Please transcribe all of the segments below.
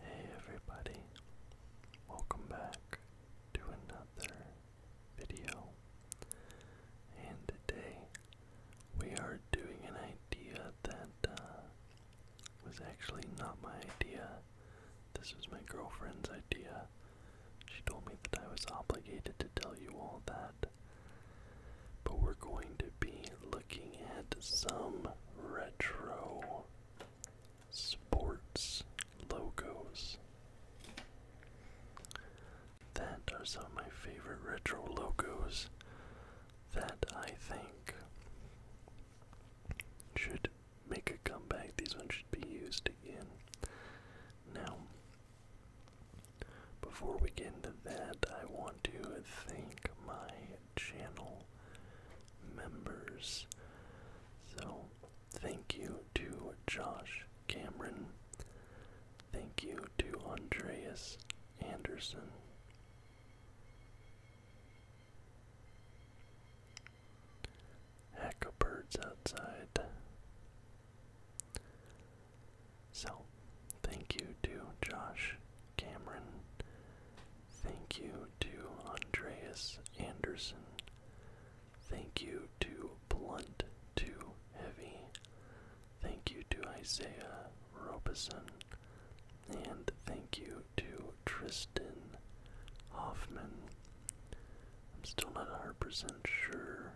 Hey everybody, welcome back to another video. And today we are doing an idea that uh, was actually not my idea. This was my girlfriend's idea. She told me that I was obligated to tell you all that. But we're going to be looking at some retro sports logos. That are some of my favorite retro logos that I think should make a comeback. These ones should be used again. Now, before we get into that, I want to thank my channel members. So, thank you to Josh Cameron. Thank you to Andreas Anderson. Heck birds outside. So, thank you to Josh Cameron. Thank you to Andreas Anderson. Thank you to Blunt Too Heavy. Thank you to Isaiah Robeson. And thank you to Tristan Hoffman. I'm still not a 100% sure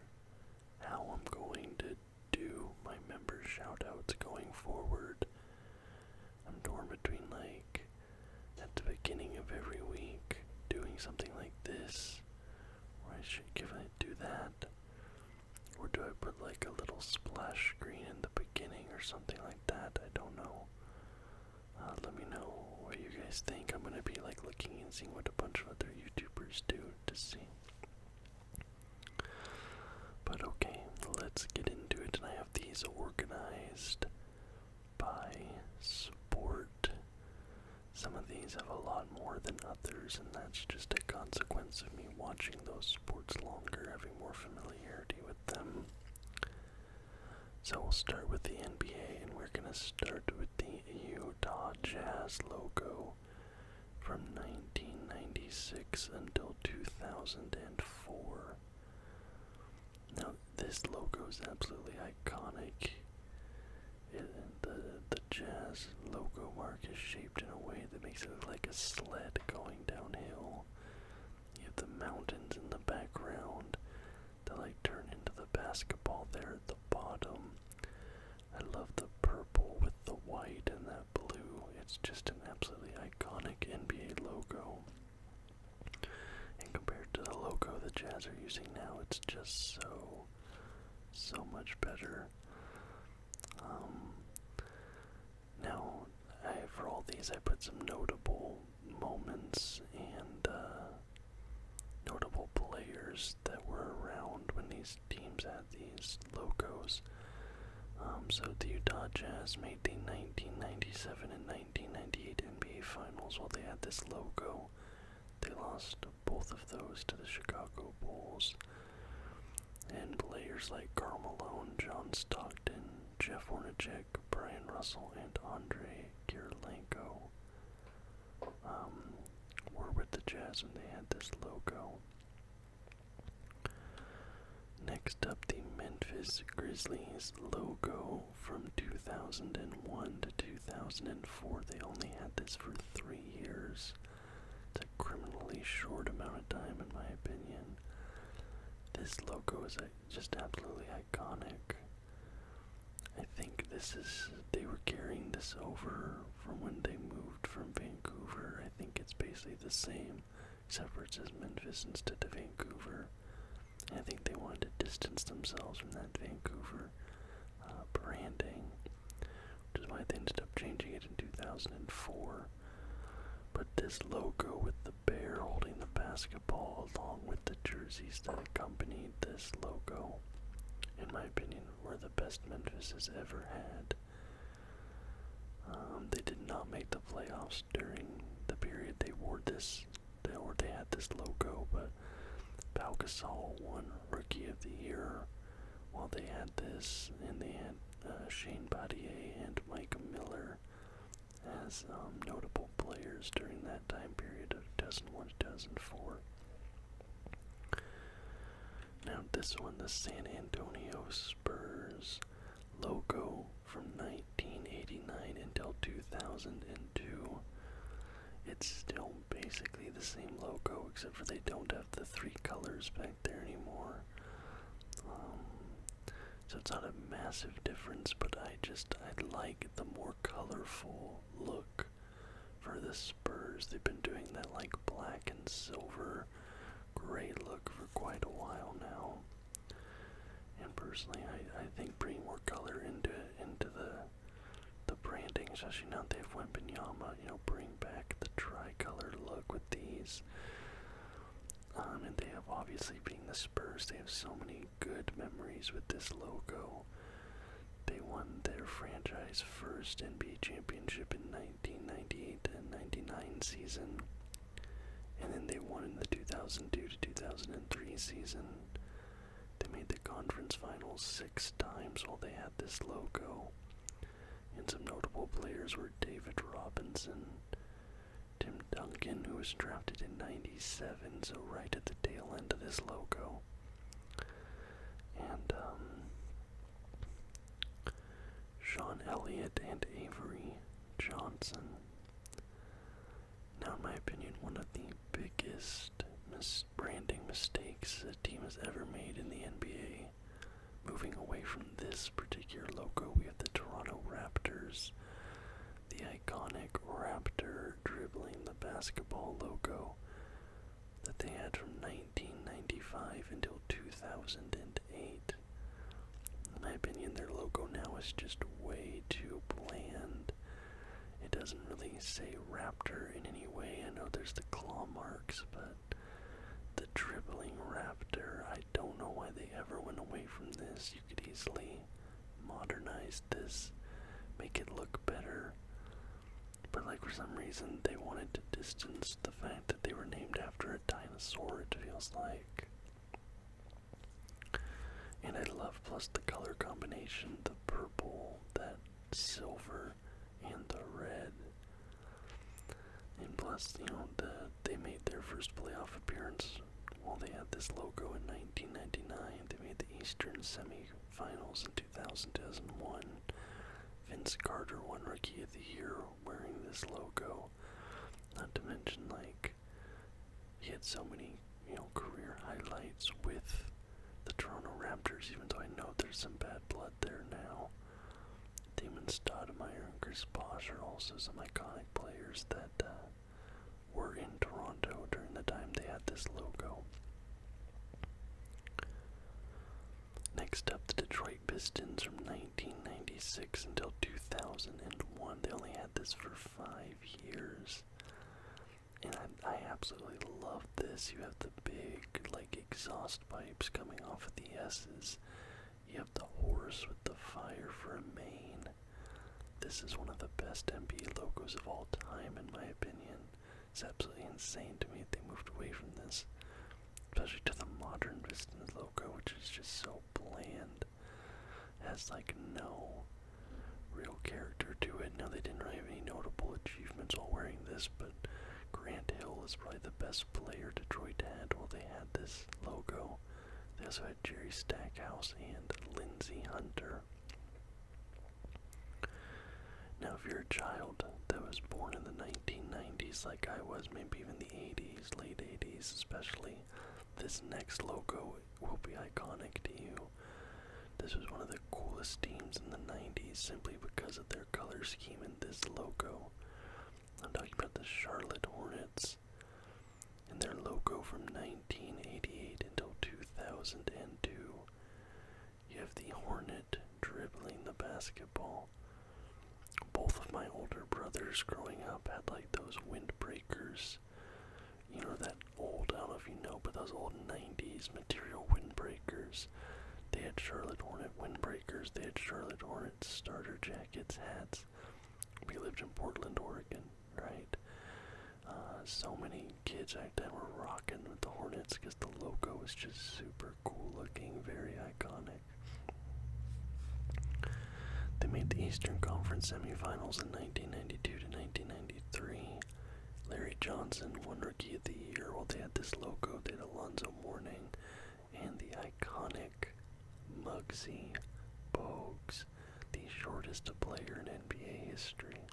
how I'm going to do my member shoutouts going forward. I'm torn between like at the beginning of every week doing something like this, or I should give it do that, or do I put like a little splash screen in the beginning or something like that? I don't know. Uh, let me know what you guys think. I'm gonna be like looking and seeing what a bunch of other YouTubers do to see. But okay, let's get into it. And I have these organized by sport. Some of these have a lot more than others, and that's just a consequence of me watching those sports longer, having more familiarity with them. So we'll start with the NBA, and we're going to start with the Utah Jazz logo from 1996 until 2004. Now this logo is absolutely iconic. the the Jazz logo mark is shaped in a way that makes it look like a sled going downhill. You have the mountains in the background that like turn into the basketball there at the bottom. I love the purple with the white and that blue. It's just an absolutely iconic NBA logo. And compared to the logo that Jazz are using now, it's just so, so much better. Um, now, I, for all these, I put some notable moments and uh, notable players that were around when these teams had these logos. Um, so the Utah Jazz made the 1997 and 1998 NBA Finals while they had this logo. They lost both of those to the Chicago Bulls. And players like Karl Malone, John Stockton, Jeff Hornacek, Brian Russell, and Andre Kirilenko um, were with the Jazz when they had this logo. Next up, the Memphis Grizzlies logo from 2001 to 2004. They only had this for three years. a criminally short amount of time, in my opinion. This logo was uh, just absolutely iconic. I think this is, they were carrying this over from when they moved from Vancouver. I think it's basically the same separates as Memphis instead of Vancouver. And I think they wanted to distance themselves from that Vancouver uh, branding, which is why they ended up changing it in 2004. But this logo with the bear holding the basketball, along with the jerseys that accompanied this logo, in my opinion, were the best Memphis has ever had. Um, they did not make playoffs during the period they wore this, they, wore they had this logo. But Pau Gasol won Rookie of the Year while they had this, and they had uh, Shane Battier and Mike Miller as um, notable players during that time period of 2001 2004. Now, this one, the San Antonio Spurs logo from 1989 until 2002. It's still basically the same logo, except for they don't have the three colors back there anymore. Um, so it's not a massive difference, but I just I like the more colorful look for the Spurs. They've been doing that like black and silver great look for quite a while now. And personally, I I think bringing more color into into the the branding, especially now they've went Binyama, you know, bring back the tri colored look with these. Um, and they have obviously being the Spurs, they have so many good memories with this logo. They won their franchise first NBA championship in 1998 and 99 season and then they won in the 2002 to 2003 season. They made the conference finals six times while they had this logo. And some notable players were David Robinson, Tim Duncan, who was drafted in 97, so right at the tail end of this logo. And um, Sean Elliott and Avery Johnson. Now, in my opinion, one of the biggest misbranding mistakes a team has ever made in the NBA, moving away from this particular logo, we have the Toronto Raptors, the iconic Raptor dribbling the basketball logo that they had from 1995 until 2008 in my opinion, their logo now is just way too bland. It doesn't really say raptor in any way. I know there's the claw marks, but the dribbling raptor, I don't know why they ever went away from this. You could easily modernize this, make it look better. But like for some reason they wanted to distance the fact that they were named after a dinosaur, it feels like. And I love plus the color combination, the purple, that silver, and the red. And plus, you know, the, they made their first playoff appearance while they had this logo in 1999. They made the Eastern semifinals in 2000, 2001. Vince Carter won Rookie of the Year wearing this logo. Not to mention, like, he had so many, you know, career highlights with the Toronto Raptors, even though I know there's some bad blood there now. Damon Stoudemire and Chris Bosh are also some iconic players that uh, were in Toronto during the time they had this logo. Next up, the Detroit Pistons from 1996 until 2001. They only had this for five years, and I, absolutely love this. You have the big like exhaust pipes coming off of the S's. You have the horse with the fire for a mane. This is one of the best MB logos of all time, in my opinion. It's absolutely insane to me that they moved away from this, especially to the modern Vistas logo, which is just so bland has like no real character to it. Now they didn't really have any notable achievements while wearing this, but Grant Hill was probably the best player Detroit had while they had this logo. They also had Jerry Stackhouse and Lindsey Hunter. Now, if you're a child that was born in the 1990s, like I was, maybe even the 80s, late 80s especially, this next logo will be iconic to you. This was one of the coolest teams in the 90s simply because of their color scheme and this logo. I'm talking about the Charlotte Hornets and their logo from 1988 until 2002. You have the Hornet dribbling the basketball. Both of my older brothers growing up had like those windbreakers you know that old, I don't know if you know, but those old 90s material windbreakers. They had Charlotte Hornet windbreakers, they had Charlotte Hornet starter jackets, hats. We lived in Portland, Oregon, right? Uh, so many kids back then were rocking with the Hornets because the logo was just super cool looking, very iconic. They made the Eastern Conference semifinals in 1992 to 1993. Larry Johnson won Rookie of the Year. while they had this logo, that Alonzo Mourning and the iconic Mugsy Bogues, the shortest player in NBA history.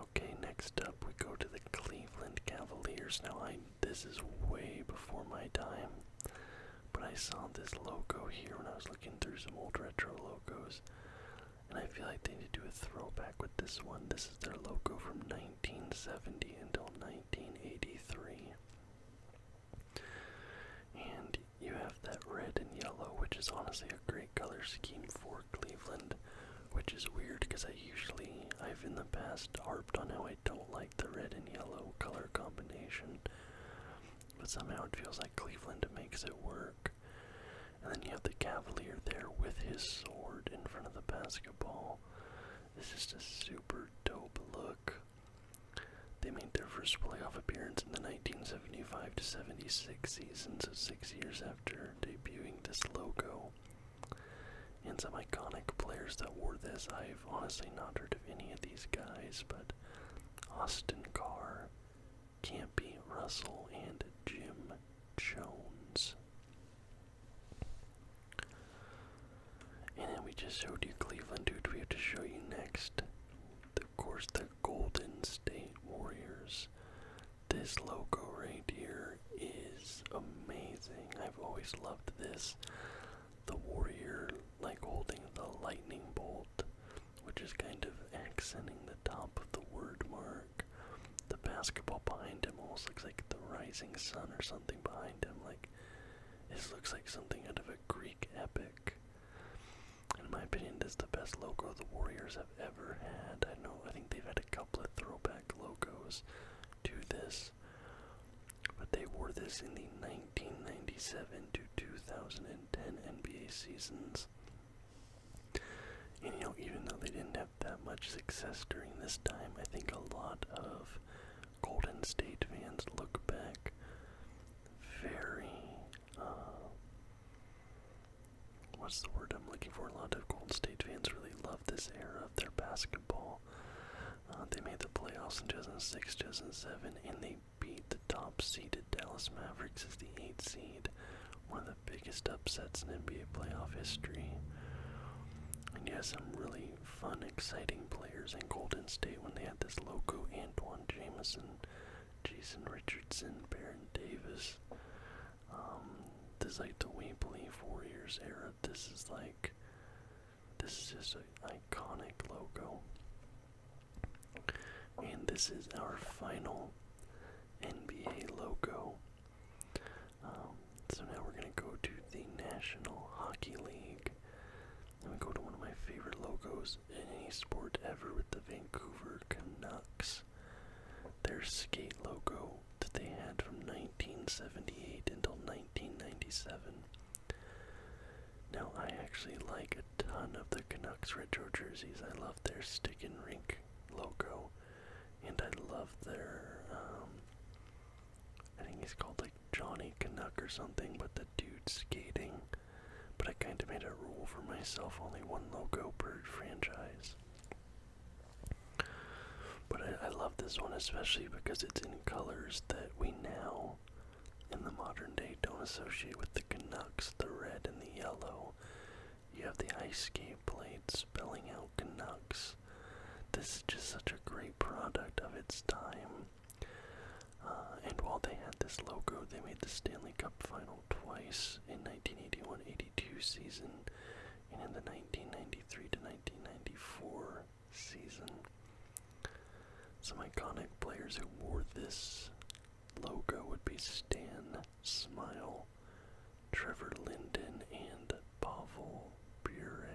Okay, next up we go to the Cleveland Cavaliers. Now, I this is way before my time. But I saw this logo here when I was looking through some old retro logos, and I feel like they need to do a throwback with this one. This is their logo from 1970 until 1983. And you have that red and yellow, which is honestly a great color scheme for Cleveland, which is weird because I usually, I've in the past harped on how I don't like the red and yellow color combination, but somehow it feels like Cleveland makes it work. And then you have the Cavalier there with his sword in front of the basketball. It's just a super dope look. They made their first playoff appearance in the 1975 to 76 season, so six years after debuting this logo. And some iconic players that wore this, I've honestly not heard of any of these guys, but Austin Carr, Campy Russell, and Jim Jones. And then we just showed you Cleveland, dude. We have to show you next. Of course, the Golden State Warriors. This logo right here is amazing. I've always loved this the warrior like holding the lightning bolt, which is kind of accenting the top of the word mark. The basketball behind him almost looks like the rising sun or something behind him. Like this looks like something out of a Greek epic. In my opinion, this is the best logo the Warriors have ever had. I know I think they've had a couple of throwback logos to this but they wore this in the 1997 to 2010 NBA seasons. And you know, even though they didn't have that much success during this time, I think a lot of Golden State fans look back very, uh, what's the word I'm looking for? A lot of Golden State fans really love this era of their basketball. Uh, they made the playoffs in 2006, 2007, and they beat the top seeded Dallas Mavericks as the 8th seed. One of the biggest upsets in NBA playoff history. And you have some really fun, exciting players in Golden State when they had this Loco, Antoine Jameson, Jason Richardson, Baron Davis. Um, this is like the We Believe Warriors era. This is like this is just an iconic logo. And this is our final NBA logo. Um, so now we're going to go to the National Hockey League. And we go to one of my favorite logos in any sport ever with the Vancouver Canucks. Their skate logo that they had from 1978 until 1997. Now, I actually like a ton of the Canucks retro jerseys. I love their stick and rink logo, and I love their, um, I think he's called like Johnny Canuck or something, but the dude skating. But I kind of made a rule for myself only one logo per franchise. But I love this one especially because it's in colors that we now in the modern day don't associate with the Canucks, the red and the yellow. You have the ice skate blade spelling out Canucks. This is just such a great product of its time. Uh, and while they had this logo, they made the Stanley Cup final twice in 1981-82 season and in the 1993-1994 season. Some iconic players who wore this logo would be Stan Smile, Trevor Linden, and Pavel Bure.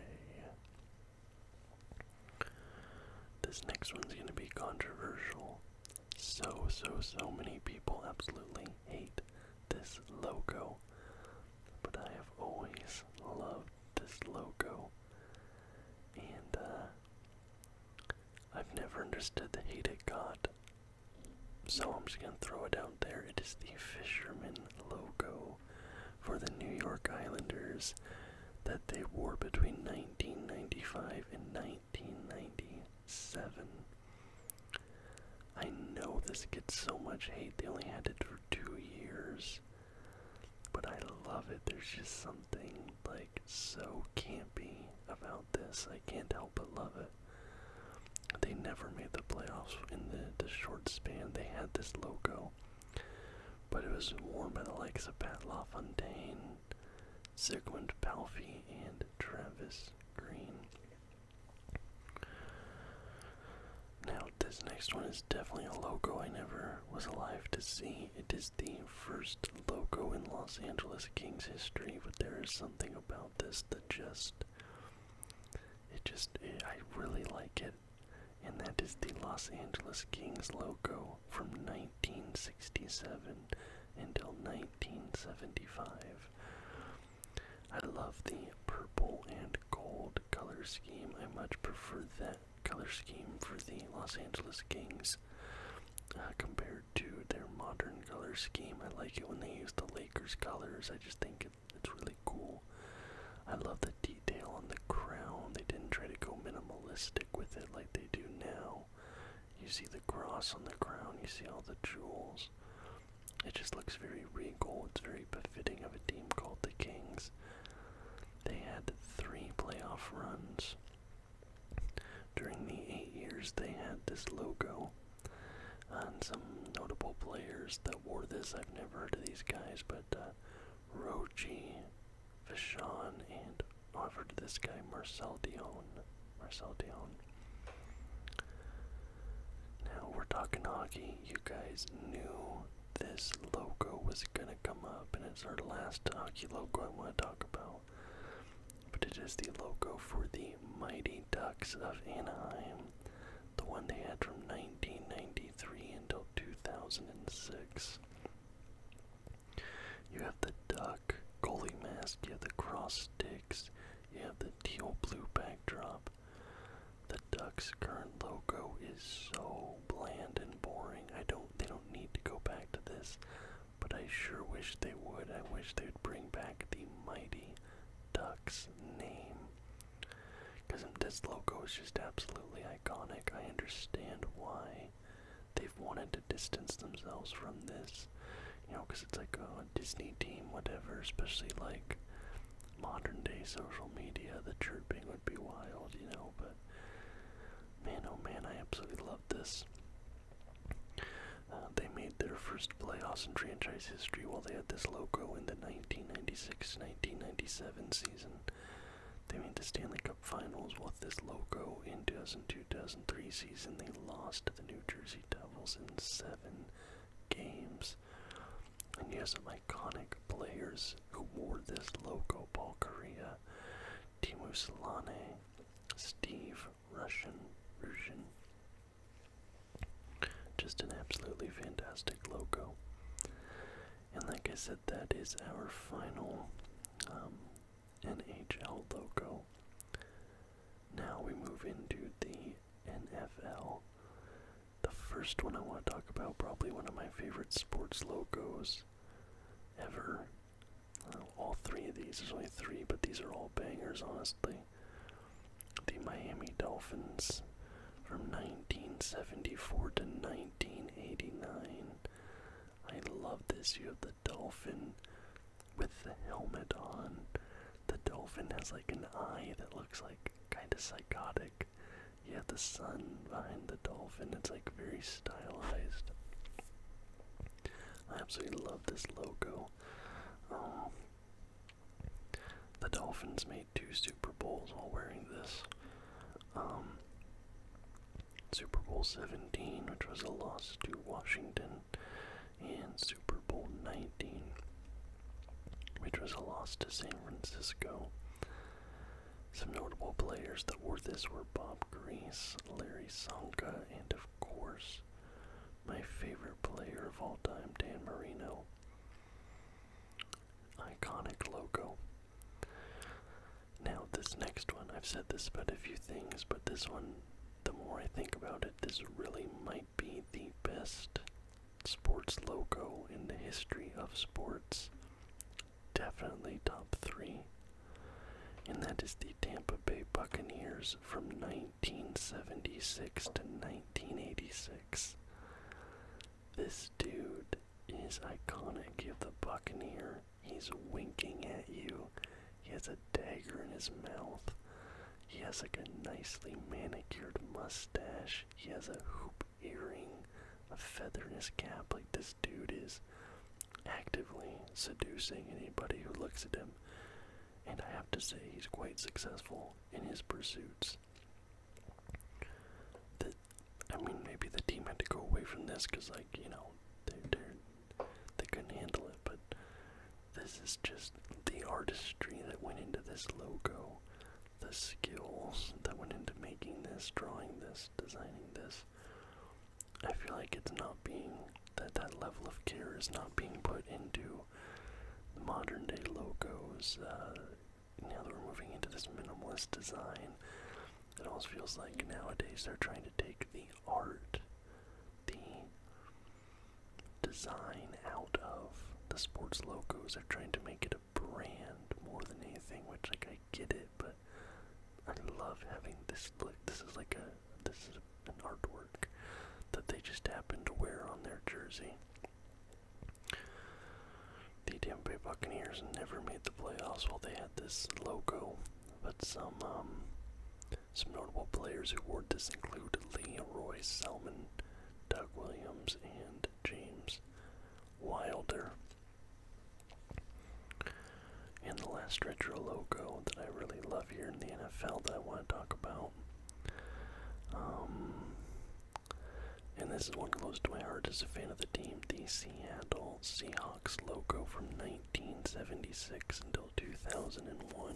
This next one's going to be controversial. So, so, so many people absolutely hate this logo, but I have always loved this logo. And uh, I've never understood the hate it got. So I'm just gonna throw it out there. It is the fisherman logo for the New York Islanders that they wore between 1995 and 1997. I know this gets so much hate. They only had it for two years. But I love it. There's just something like so campy about this. I can't help but love it. They never made the playoffs in the, short span. They had this logo, but it was worn by the likes of Pat LaFontaine, Sigmund Palfi, and Travis Green. Now, this next one is definitely a logo I never was alive to see it is the first logo in Los Angeles Kings history, but there is something about this that just. It just. Eh, I really like it. And that is the Los Angeles Kings logo from 1967 until 1975. I love the purple and gold color scheme. I much prefer that color scheme for the Los Angeles Kings uh, compared to their modern color scheme. I like it when they use the Lakers colors. I just think it, it's really cool. I love the detail on the crown. They didn't try to go minimalistic with it like they do now. You see the cross on the crown, you see all the jewels. It just looks very regal. It's very befitting of a team called the Kings. They had three playoff runs during the eight years they had this logo on some notable players that wore this, I've never heard of these guys, but Roche, uh, Roji, and I've heard of this guy, Marcel Dion. Marcel Dion. Now we're talking hockey. You guys knew this logo was gonna come up, and it's our last hockey logo I want to talk about. But it is the logo for the Mighty Ducks of Anaheim, the one they had from 1993 until 2006. You have the duck goalie mask, you have the cross sticks, you have the teal blue backdrop. The duck's current logo is so bland and boring. I don't they don't need to go back to this, but I sure wish they would. I wish they'd bring back the Mighty Ducks name. Because this logo is just absolutely iconic. I understand why they've wanted to distance themselves from this. You know, because it's like a Disney team, whatever, especially like modern day social media, the chirping would be wild, you know, but man, oh man, I absolutely love this. Uh, they made their first playoffs in franchise history while they had this logo in the 1996-1997 season. They made the Stanley Cup Finals with this logo in 2002-2003 season. They lost to the New Jersey Devils in seven games. And you have some iconic players who wore this logo. Paul Kariya. Timu Solane, Steve Russian, Russian. Just an absolutely fantastic logo. And like I said, that is our final um, NHL logo. Now we move into the NFL. The first one I want to talk about, probably one of my favorite sports logos ever, all three of these, there's only three, but these are all bangers, honestly. The Miami Dolphins from 1974 to 1989. I love this. You have the dolphin with the helmet on. The dolphin has like an eye that looks like kind of psychotic. You have the sun behind the dolphin. It's like very stylized. I absolutely love this logo. Um, the Dolphins made two Super Bowls while wearing this. Um, Super Bowl 17, which was a loss to Washington, and Super Bowl 19, which was a loss to San Francisco. Some notable players that wore this were Bob Grease, Larry Sanka, and of course, my favorite player of all time, Dan Marino. Iconic logo. Now, this next one, I've said this about a few things, but this one, the more I think about it, this really might be the best sports logo in the history of sports definitely top three, and that is the Tampa Bay Buccaneers from 1976 to 1986. This dude is iconic. You have the Buccaneer, he's winking at you, he has a dagger in his mouth. He has like a nicely manicured mustache. He has a hoop earring, a feather in his cap. Like this dude is actively seducing anybody who looks at him, and I have to say he's quite successful in his pursuits. The, I mean, maybe the team had to go away from this because, like, you know, they couldn't handle it. But this is just the artistry that went into this logo, the skills that went into making this, drawing this, designing this. I feel like it's not being that that level of care is not being put into the modern day logos. Uh, now that we're moving into this minimalist design, it almost feels like nowadays they're trying to take the art, the design out of the sports logos. They're trying to make it a brand more than anything, which like I get it, but I love having this Like This is like a this is an artwork that they just happen to wear on their jersey. The Tampa Bay Buccaneers never made the playoffs. while they had this logo, but some um, some notable players who wore this include Leroy Selman, Doug Williams, and James Wilder. And the last retro logo that I really love here in the NFL that I want to talk about. Um, and this is one close to my heart as a fan of the team, the Seattle Seahawks logo from 1976 until 2001.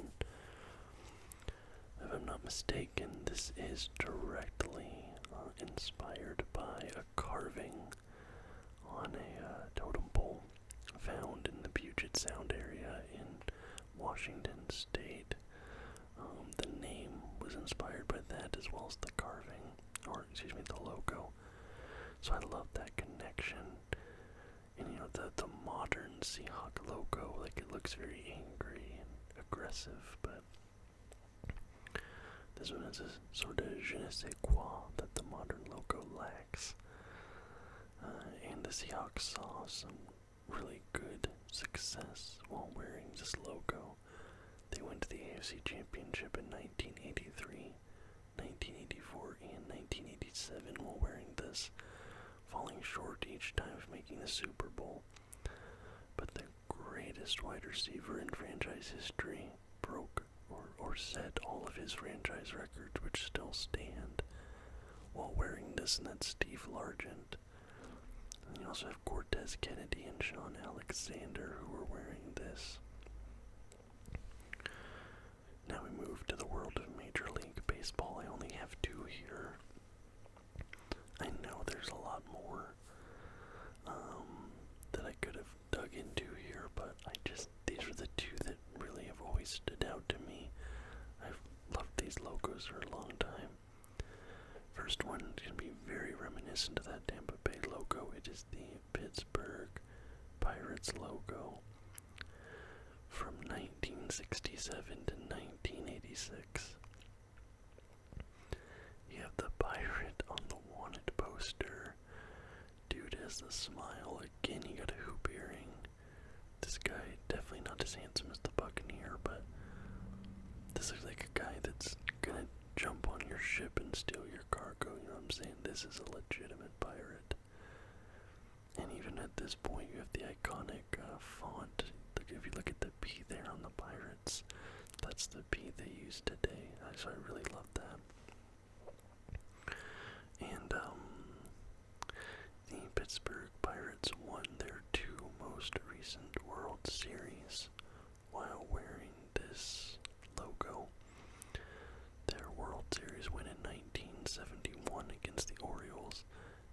If I'm not mistaken, this is directly uh, inspired by a carving on a uh, totem pole found in the Puget Sound area in Washington State. Um, the name was inspired by that as well as the carving, or excuse me, the logo. So I love that connection. And you know, the, the modern Seahawk logo, like it looks very angry and aggressive, but this one has a sort of je ne quoi that the modern logo lacks. Uh, and the Seahawks saw some really good success while wearing this logo. They went to the AFC Championship in 1983, 1984, and 1987 while wearing this, falling short each time of making the Super Bowl. But the greatest wide receiver in franchise history broke or, or set all of his franchise records, which still stand, while wearing this. And that's Steve Largent. And you also have Cortez Kennedy and Sean Alexander who are wearing this. Now we move to the world of Major League Baseball. I only have two here. I know there's a lot more um, that I could have dug into here, but I just these are the two that really have always stood out to me. I've loved these logos for a long time. First one can be very reminiscent of that Tampa Bay logo. It is the Pittsburgh Pirates logo from 1967 to 1986. You have the pirate on the wanted poster. Dude has the smile. Again, he got a hoop earring. This guy, definitely not as handsome as the Buccaneer, but this looks like a guy that's gonna jump on your ship and steal your cargo. You know what I'm saying? This is a legitimate pirate. And even at this point, you have the iconic uh, font. if you look at the P there on the pirates, that's the P they use today. So I really love that. And um, the Pittsburgh Pirates won their two most recent World Series while wearing this logo. Their World Series win in 1971 against the Orioles,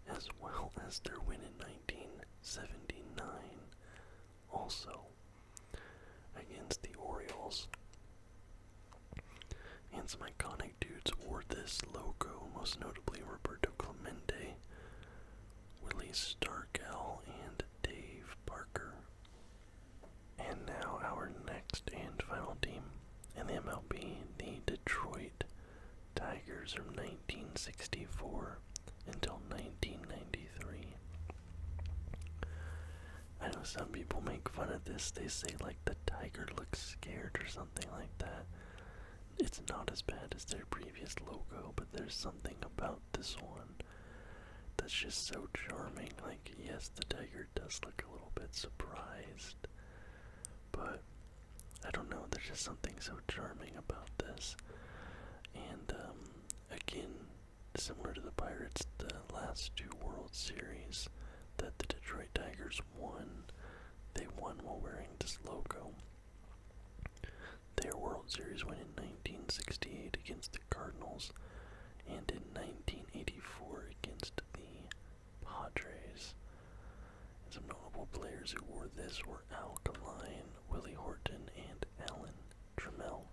as well as their win in 1979 also against the Orioles. And some iconic dudes wore this logo, most notably Roberto Clemente, Willie Stargell, and Dave Parker. And now our next and final team in the MLB, the Detroit Tigers from 1964 until 1993. I know some people make fun of this. They say like the tiger looks scared or something like that. It's not as bad as their previous logo, but there's something about this one that's just so charming. Like, yes, the tiger does look a little bit surprised, but I don't know, there's just something so charming about this. And, um, again, similar to the Pirates, the last two World Series that the Detroit Tigers won. They won while wearing this logo. Their World Series win in 1968 against the Cardinals and in 1984 against the Padres. Some notable players who wore this were Al Kaline, Willie Horton, and Alan Trammell.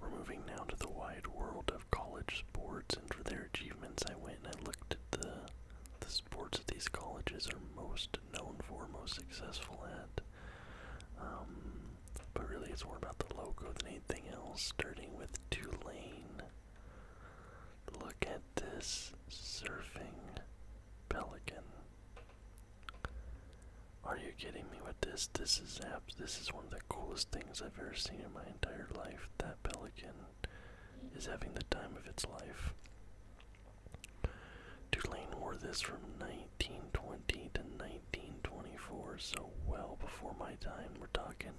We're moving now to the wide world of college sports, and for their achievements, I went and I looked at the the sports that these colleges are most known for, most successful at. Um, but really, it's more about the logo than anything else. Starting with Tulane. Look at this surfing pelican. Are you kidding me with this? This is abs this is one of the coolest things I've ever seen in my entire life. That pelican is having the time of its life. Tulane wore this from 1920 to 1924, so well before my time. We're talking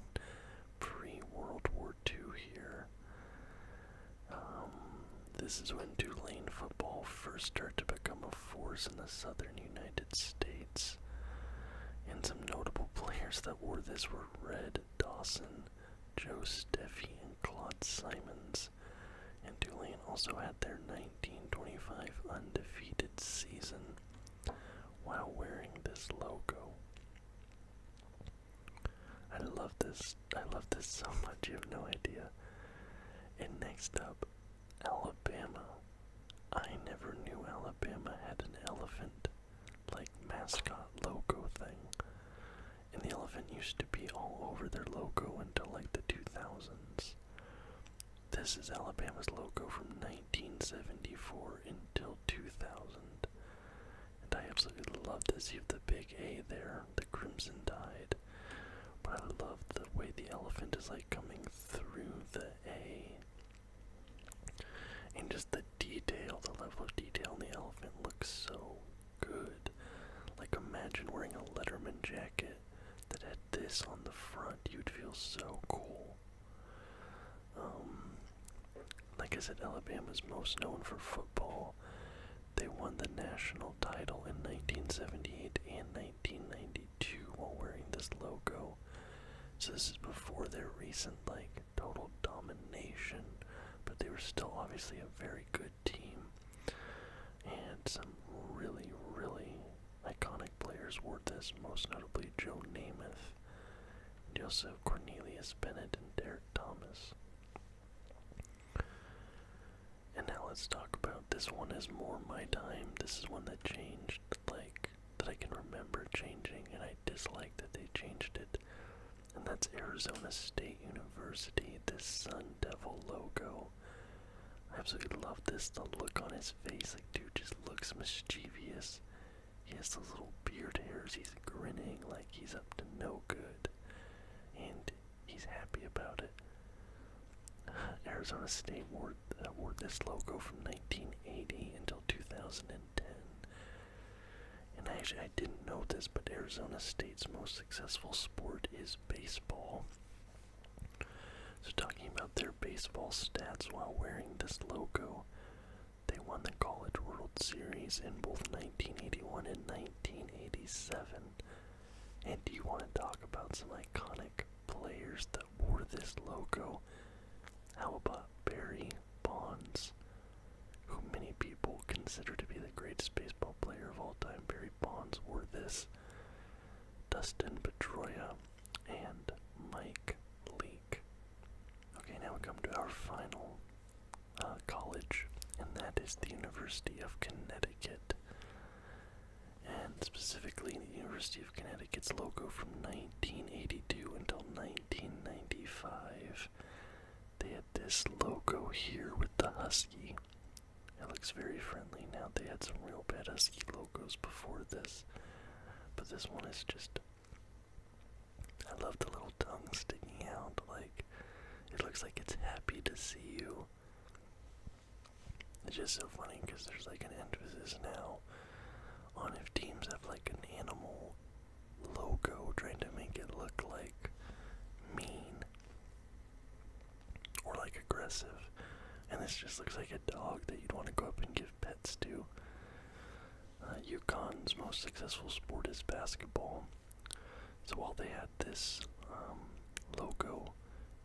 pre-World War II here. Um, this is when Tulane football first started to become a force in the southern United States. And some notable players that wore this were Red Dawson, Joe Steffi, and Claude Simons. And Tulane also had their 1925 undefeated season while wearing this logo. I love this. I love this so much. You have no idea. And next up, Alabama. I never knew Alabama had an elephant, like mascot logo thing. And the elephant used to be all over their logo until like the 2000s. This is Alabama's logo from 1974 until 2000. And I absolutely love to see the big A there, the Crimson Tide. But I love the way the elephant is like coming through the A. And just the detail, the level of detail in the elephant looks so good. Like imagine wearing a Letterman jacket that had this on the front. You'd feel so cool. Um, like I said, Alabama's most known for football. They won the national title in 1978 and 1990. Two while wearing this logo. So this is before their recent like total domination, but they were still obviously a very good team. And some really, really iconic players wore this, most notably Joe Namath, Joseph Cornelius Bennett, and Derek Thomas. And now let's talk about this one is more my time. This is one that changed like that I can remember changing, and I dislike that they changed it. And that's Arizona State University, this Sun Devil logo. I absolutely love this. The look on his face, like, dude just looks mischievous. He has those little beard hairs. He's grinning like he's up to no good. And he's happy about it. Arizona State wore that wore this logo from 1980 until 2010. And actually, I didn't know this, but Arizona State's most successful sport is baseball. So, talking about their baseball stats while wearing this logo, they won the College World Series in both 1981 and 1987. And do you want to talk about some iconic players that wore this logo? How about Barry Bonds, who many people consider to be the greatest baseball player of all time? Barry Bonds or this. Dustin Pedroia and Mike Leake. Okay, now we come to our final uh, college, and that is the University of Connecticut. And specifically, the University Connecticut's logo from 1982 until 1995. They had this logo here with the husky. It looks very friendly now. They had some real bad husky logos before this, but this one is just. I love the little tongue sticking out. Like, it looks like it's happy to see you. It's just so funny because there's like an end to this now on if teams have like an animal logo trying to make it look like mean or like aggressive. And this just looks like a dog that you'd want to go up and give pets to. Uh, UConn's most successful sport is basketball. So while they had this um, logo,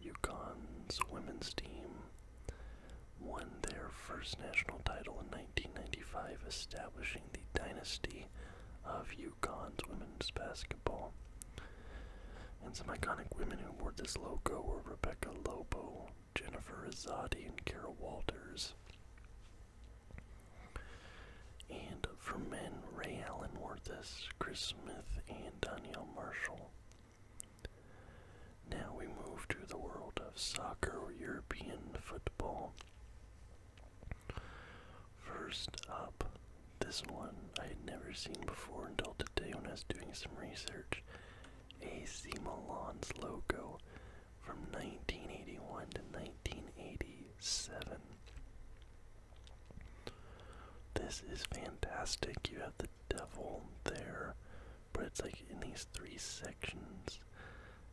UConn's women's team won their first national title in 1995, establishing the dynasty of Yukon's women's basketball. And some iconic women who wore this logo were Rebecca Lobo, Jennifer Azadi, and Kara Walters. And for men, Ray Allen wore this, Chris Smith, and Danielle Marshall. Now we move to the world of soccer European football. First up, this one I had never seen before until today when I was doing some research. AC Milan's logo from 1981 to 1987. This is fantastic. You have the the devil there, but it's like in these three sections,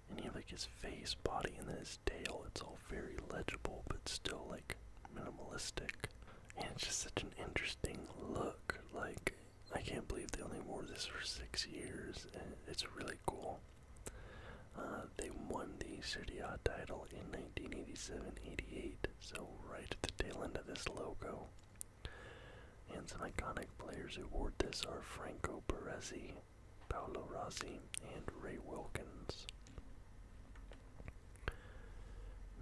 and you have like his face, body, and then his tail. It's all very legible, but still like minimalistic, and it's just such an interesting look. Like I can't believe they only wore this for six years, and it's really cool. Uh, they won the Serie title in 1987-88, so right at the tail end of this logo. And some iconic players who wore this are Franco Baresi, Paolo Rossi, and Ray Wilkins.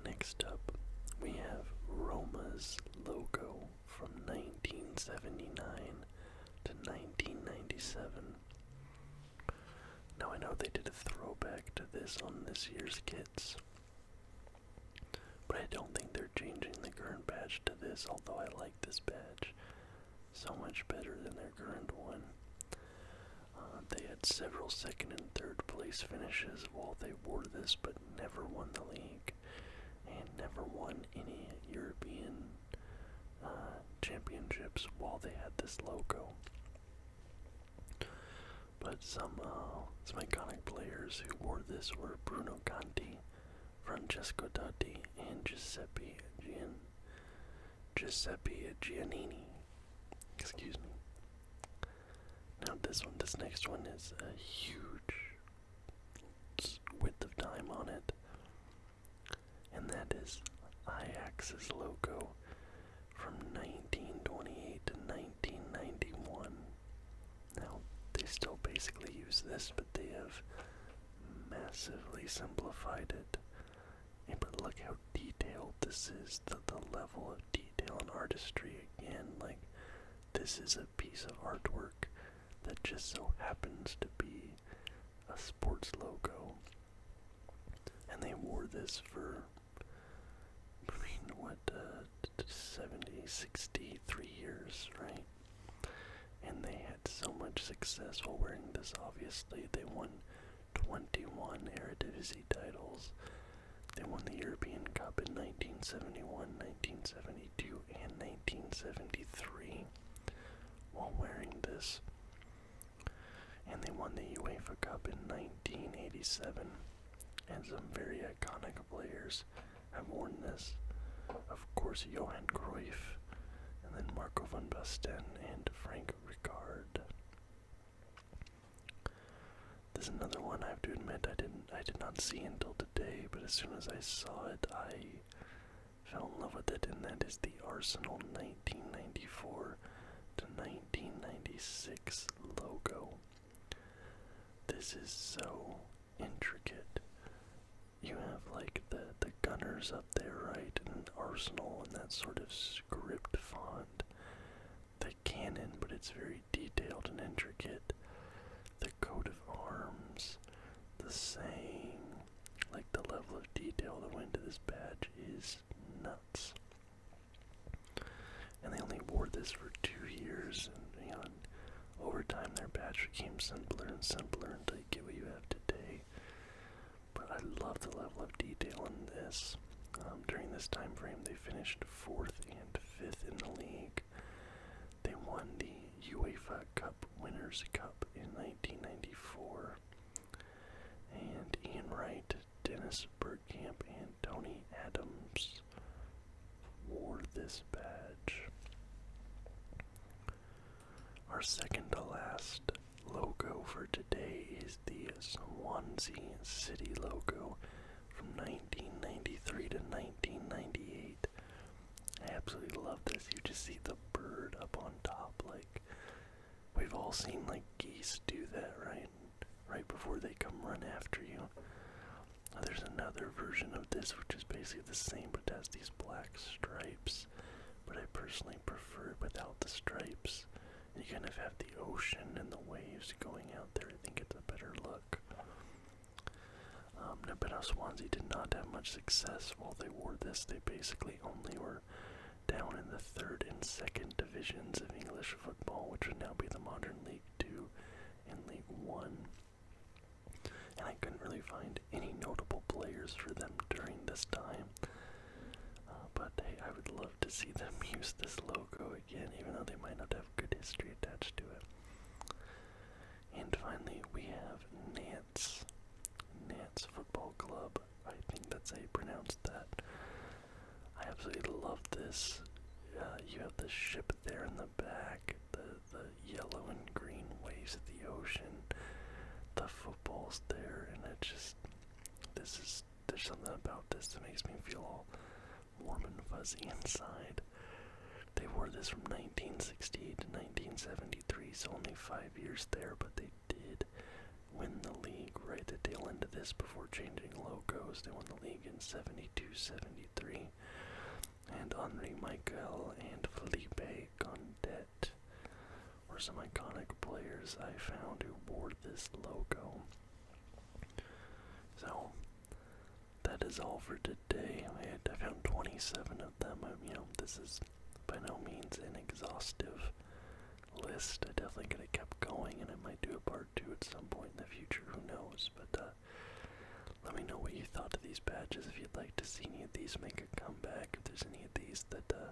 Next up, we have Roma's logo from 1979 to 1997. Now I know they did a throwback to this on this year's kits, but I don't think they're changing the current badge to this, although I like this badge so much better than their current one. Uh, they had several second and third place finishes while they wore this, but never won the league and never won any European uh, championships while they had this logo. But some, uh, some iconic players who wore this were Bruno Conti, Francesco Totti, and Giuseppe Gian Giuseppe Giannini. Excuse me. Now this one, this next one is a huge width of time on it, and that is Ajax's logo from 1928 to 1991. Now, they still basically use this, but they have massively simplified it. but look how detailed this is, the, level of detail and artistry again. Like, this is a piece of artwork that just so happens to be a sports logo. And they wore this for, I what, uh, 70, 63 years, right? And they had so much success while wearing this, obviously. They won 21 Eredivisie titles. They won the European Cup in 1971, 1972, and 1973 while wearing this. And they won the UEFA Cup in 1987 and some very iconic players have worn this. Of course, Johan Cruyff, and then Marco van Basten and Frank Ricard. There's another one I have to admit I didn't I did not see until today, but as soon as I saw it, I fell in love with it, and that is the Arsenal 1994 to 1996 logo. This is so intricate. You have like the the gunners up there, right, and arsenal and that sort of script font. The cannon, but it's very detailed and intricate. The coat of arms, the same. like the level of detail that went into this badge is nuts. And they only wore this for two years, and you over time their badge became simpler and simpler until you get what you have today. But I love the level of detail in this. Um, during this time frame, they finished fourth and fifth in the league. They won the UEFA Cup Winners' Cup in 1994. And Ian Wright, Dennis Bergkamp, and Tony Adams wore this badge. Our second to last logo for today is the Swansea City logo from 1993 to 1998. I absolutely love this. You just see the bird up on top. Like, we've all seen, like, geese do that, right? Right before they come run after you. There's another version of this which is basically the same but it has these black stripes. But I personally prefer it without the stripes. You kind of have the ocean and the waves going out there. I think it's a better look. Um, Nabetta Swansea did not have much success while they wore this. They basically only were down in the third and second divisions of English football, which would now be the modern League Two and League One. And I couldn't really find any notable players for them during this time. Uh, but hey, I would love to see them use this logo again, even though they might not have good history attached to it. And finally, we have Nantes, Nantes Football Club. I think that's how you pronounce that. I absolutely love this. Uh, you have the ship there in the back, the yellow and green waves of the ocean. The football's there, and it just this is there's something about this that makes me feel all warm and fuzzy inside. They wore this from 1968 to 1973, so only five years there, but they did win the league right at the tail end of this before changing logos. They won the league in 72 73 and Henri Michael and Felipe Gondet were some iconic players I found who wore this logo. So that is all for today. I, found 27 of them. I, you know, this is by no means an exhaustive list. I definitely could have kept going, and I might do a part two at some point in the future. Who knows? But uh, let me know what you thought of these badges. If you'd like to see any of these make a comeback, if there's any of these that uh,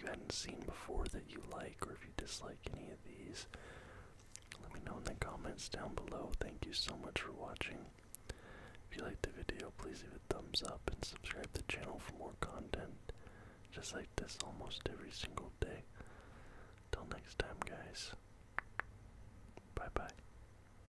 you hadn't seen before that you like, or if you dislike any of these, let me know in the comments down below. Thank you so much for watching. If you liked the video, please leave a thumbs up and subscribe to the channel for more content just like this almost every single day. Till next time, guys. Bye bye.